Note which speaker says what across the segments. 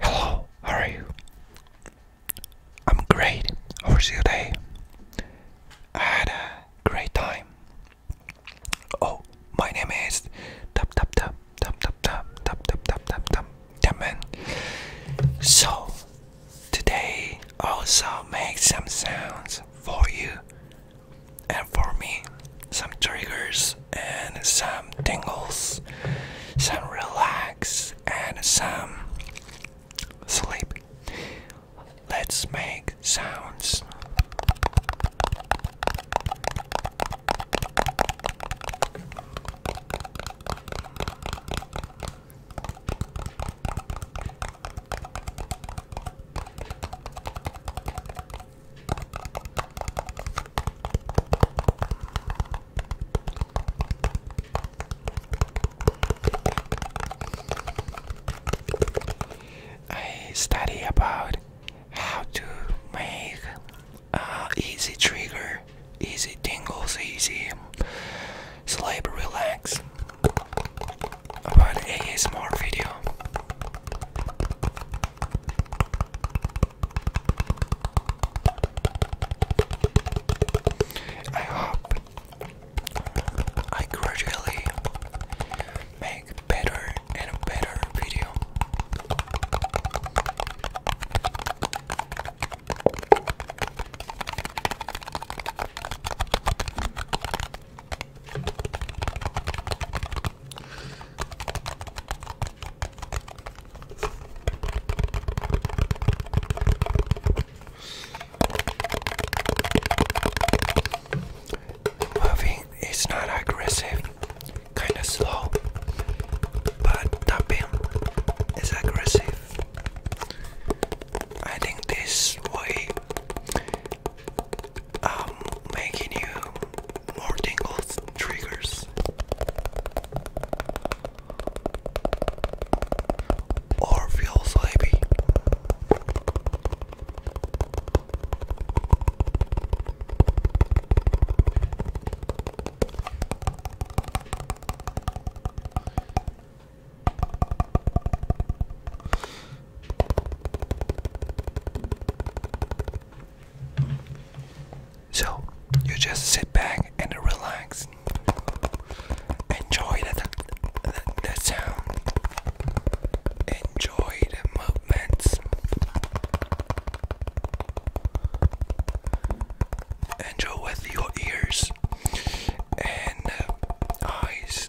Speaker 1: Hello, how are you? I'm great. How was your day? I had a great time. Oh, my name is Tap Tap Tap Tap Tap Tap Tap Tap Tap Tap Tap Tap Man. So today also make some sounds for you and for me some triggers and some tingles some relax and some sleep let's make sounds I study about how to make uh, easy trigger, easy tingles, easy um, sleep relax about ASMR video. I hope I gradually make better and better video. Moving is not aggressive, kind of slow, but tapping is aggressive. I think this way um, making you more tingles triggers or feel sleepy. So you just sit back and relax. Enjoy the, the, the sound. Enjoy the movements. Enjoy with your ears and uh, eyes.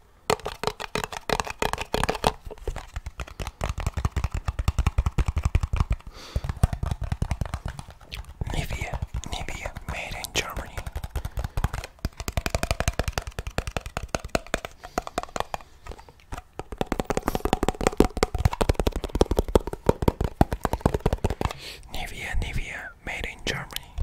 Speaker 1: Nivea, Nivea, made in Germany. Nivea, Nivea made in Germany.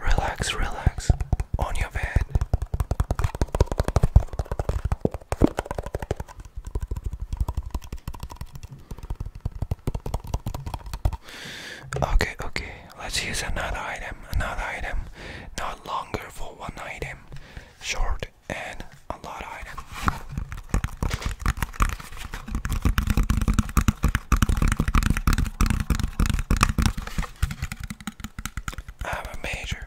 Speaker 1: Relax, relax on your bed. Okay, okay, let's use another item, another item, not longer for one item, short and a lot of item. I'm a major.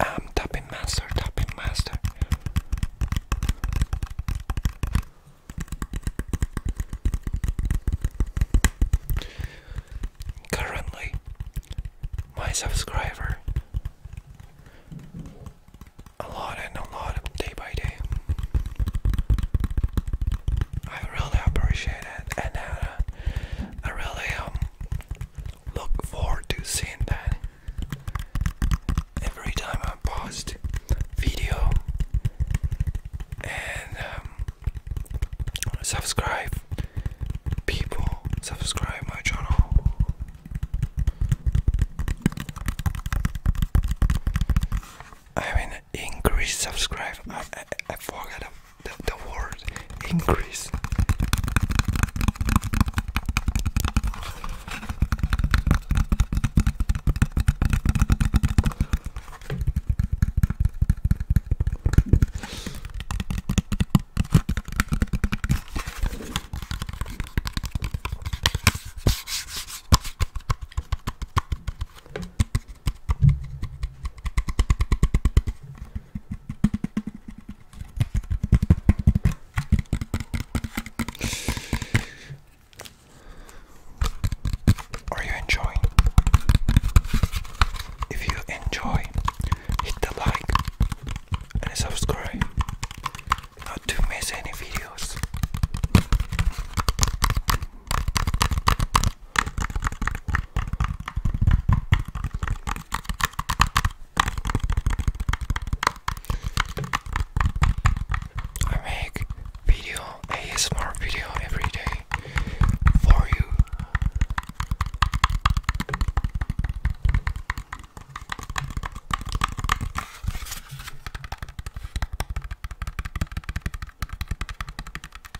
Speaker 1: I'm tapping master, tapping master. Currently, my subscriber a lot and a lot day by day. I really appreciate it, and uh, I really um look forward to seeing that every time I post video and um, subscribe people subscribe my channel I mean increase subscribe I, I, I forgot the, word increase. Are you enjoying? If you enjoy, hit the like and subscribe not to miss any videos. I make video ASMR video every day for you.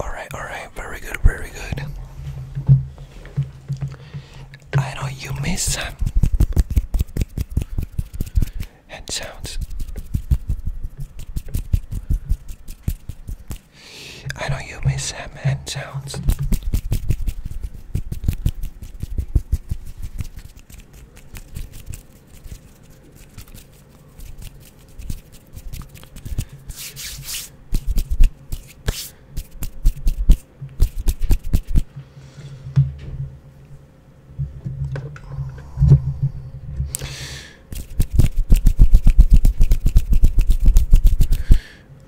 Speaker 1: All right, all right, very good, very good. I know you miss some hand sounds. I know you miss ham hand sounds.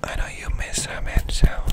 Speaker 1: I know you miss some hand sounds.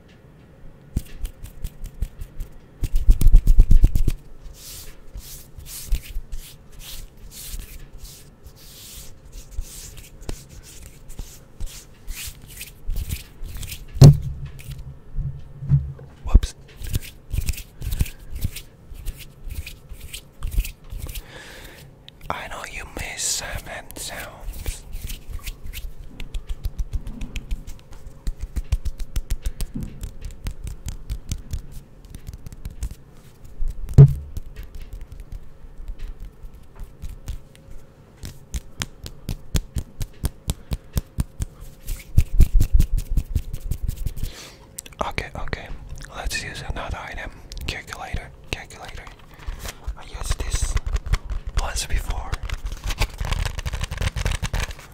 Speaker 1: Whoops. I know you miss some end Okay, okay. Let's use another item. Calculator, calculator. I used this once before.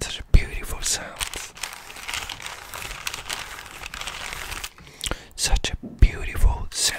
Speaker 1: Such a beautiful sound. Such a beautiful sound.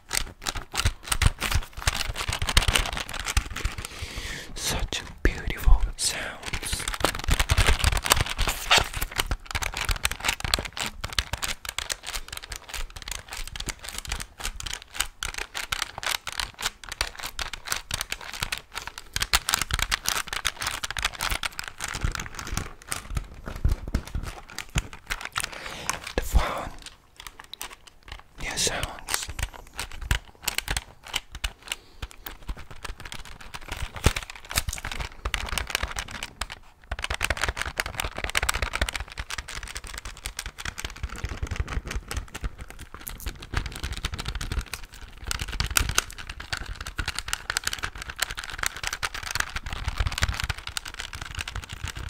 Speaker 1: Such beautiful sounds. The phone Yes. sounds.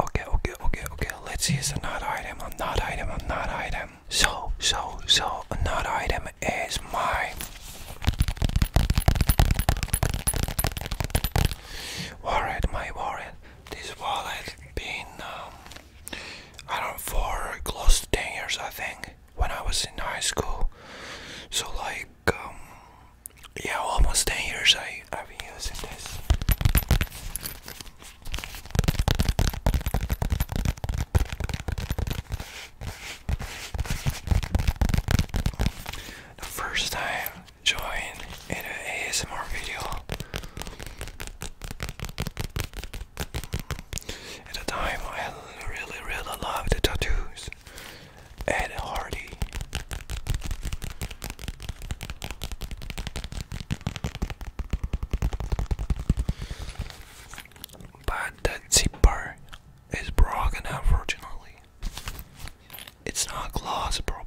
Speaker 1: Okay, okay, okay, okay. Let's use another item, Not item, Not item. So, so, so, not item is my wallet, my wallet. This wallet been, um, I don't know, for close to 10 years, I think, when I was in high school. So, like, um, yeah, almost 10 years I, I've been using this. The first time join in an ASMR video. At the time I really really loved tattoos. Ed Hardy but that zipper is broken, unfortunately. It's not closed properly.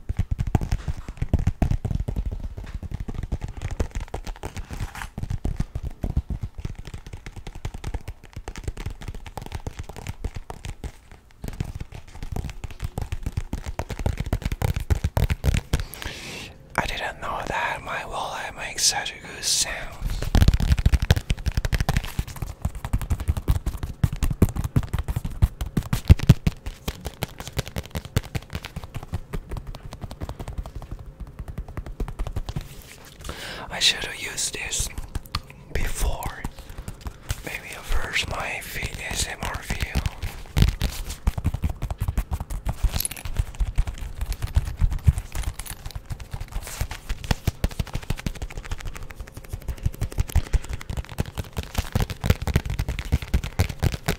Speaker 1: I didn't know that my wallet makes such a good sound. I should have used this before. Maybe I first my ASMR video.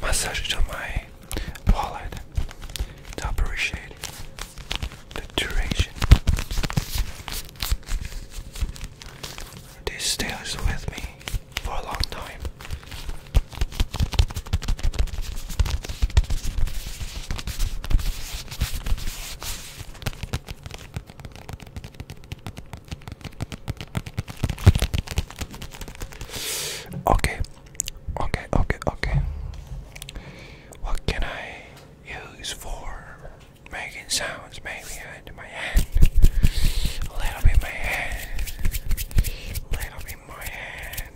Speaker 1: Massage it on my wallet to appreciate the duration. This stays with me for a long time. Okay, okay, okay, okay. What can I use for making sounds? Maybe into my hand. A little bit my hand. A little bit my hand.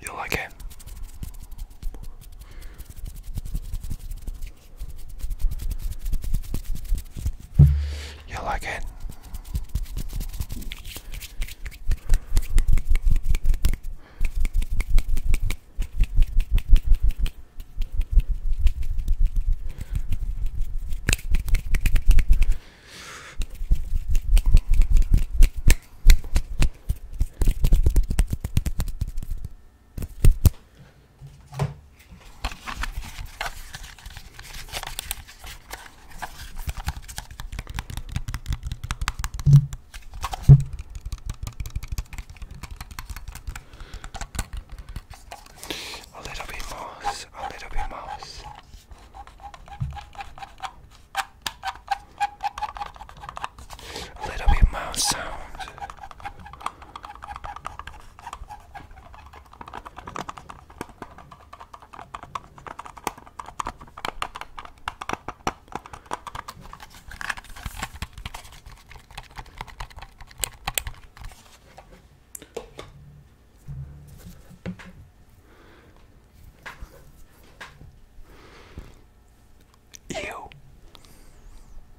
Speaker 1: You like it? You like it? A little bit more, a little bit more. A little bit mouse sound. Ew.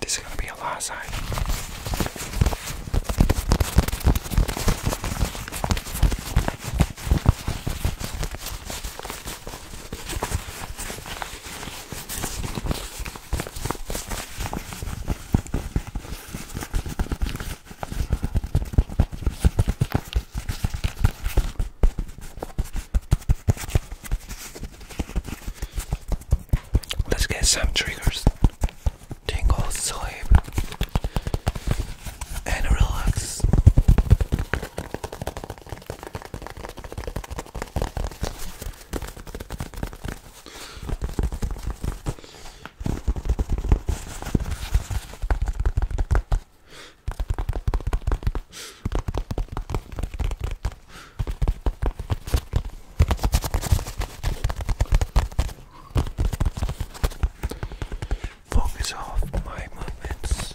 Speaker 1: This is gonna be a lot side. Let's get some triggers. Tingle, sleep, and relax. Focus off my movements.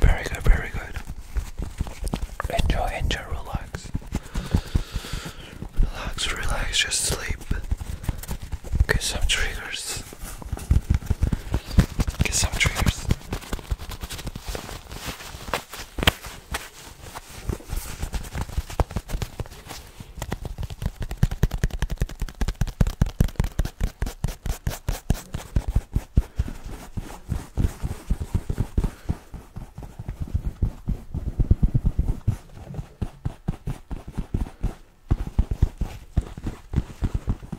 Speaker 1: Very good, very good. Enjoy, enjoy, relax. Relax, relax, just sleep. Get some triggers triggers. Get some triggers.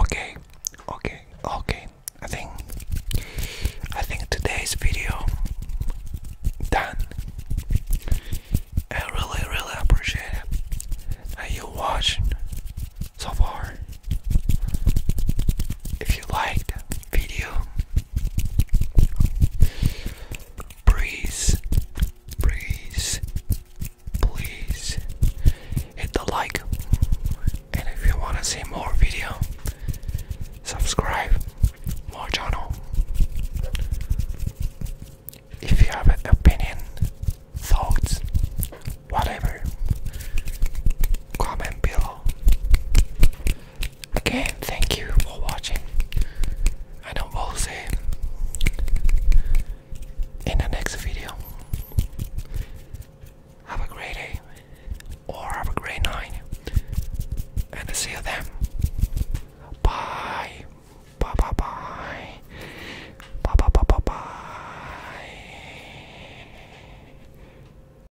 Speaker 1: Okay, okay, okay. I think I think today's video done. I really really appreciate that you watched so far. If you liked video Please, please, please hit the like. And if you want to see more video, subscribe more channel. If you have an opinion, thoughts, whatever, comment below. Okay, thank you for watching. I don't want to see in the next video. Have a great day or have a great night. And see you then. Bye. Bye bye bye. Bye bye bye bye bye.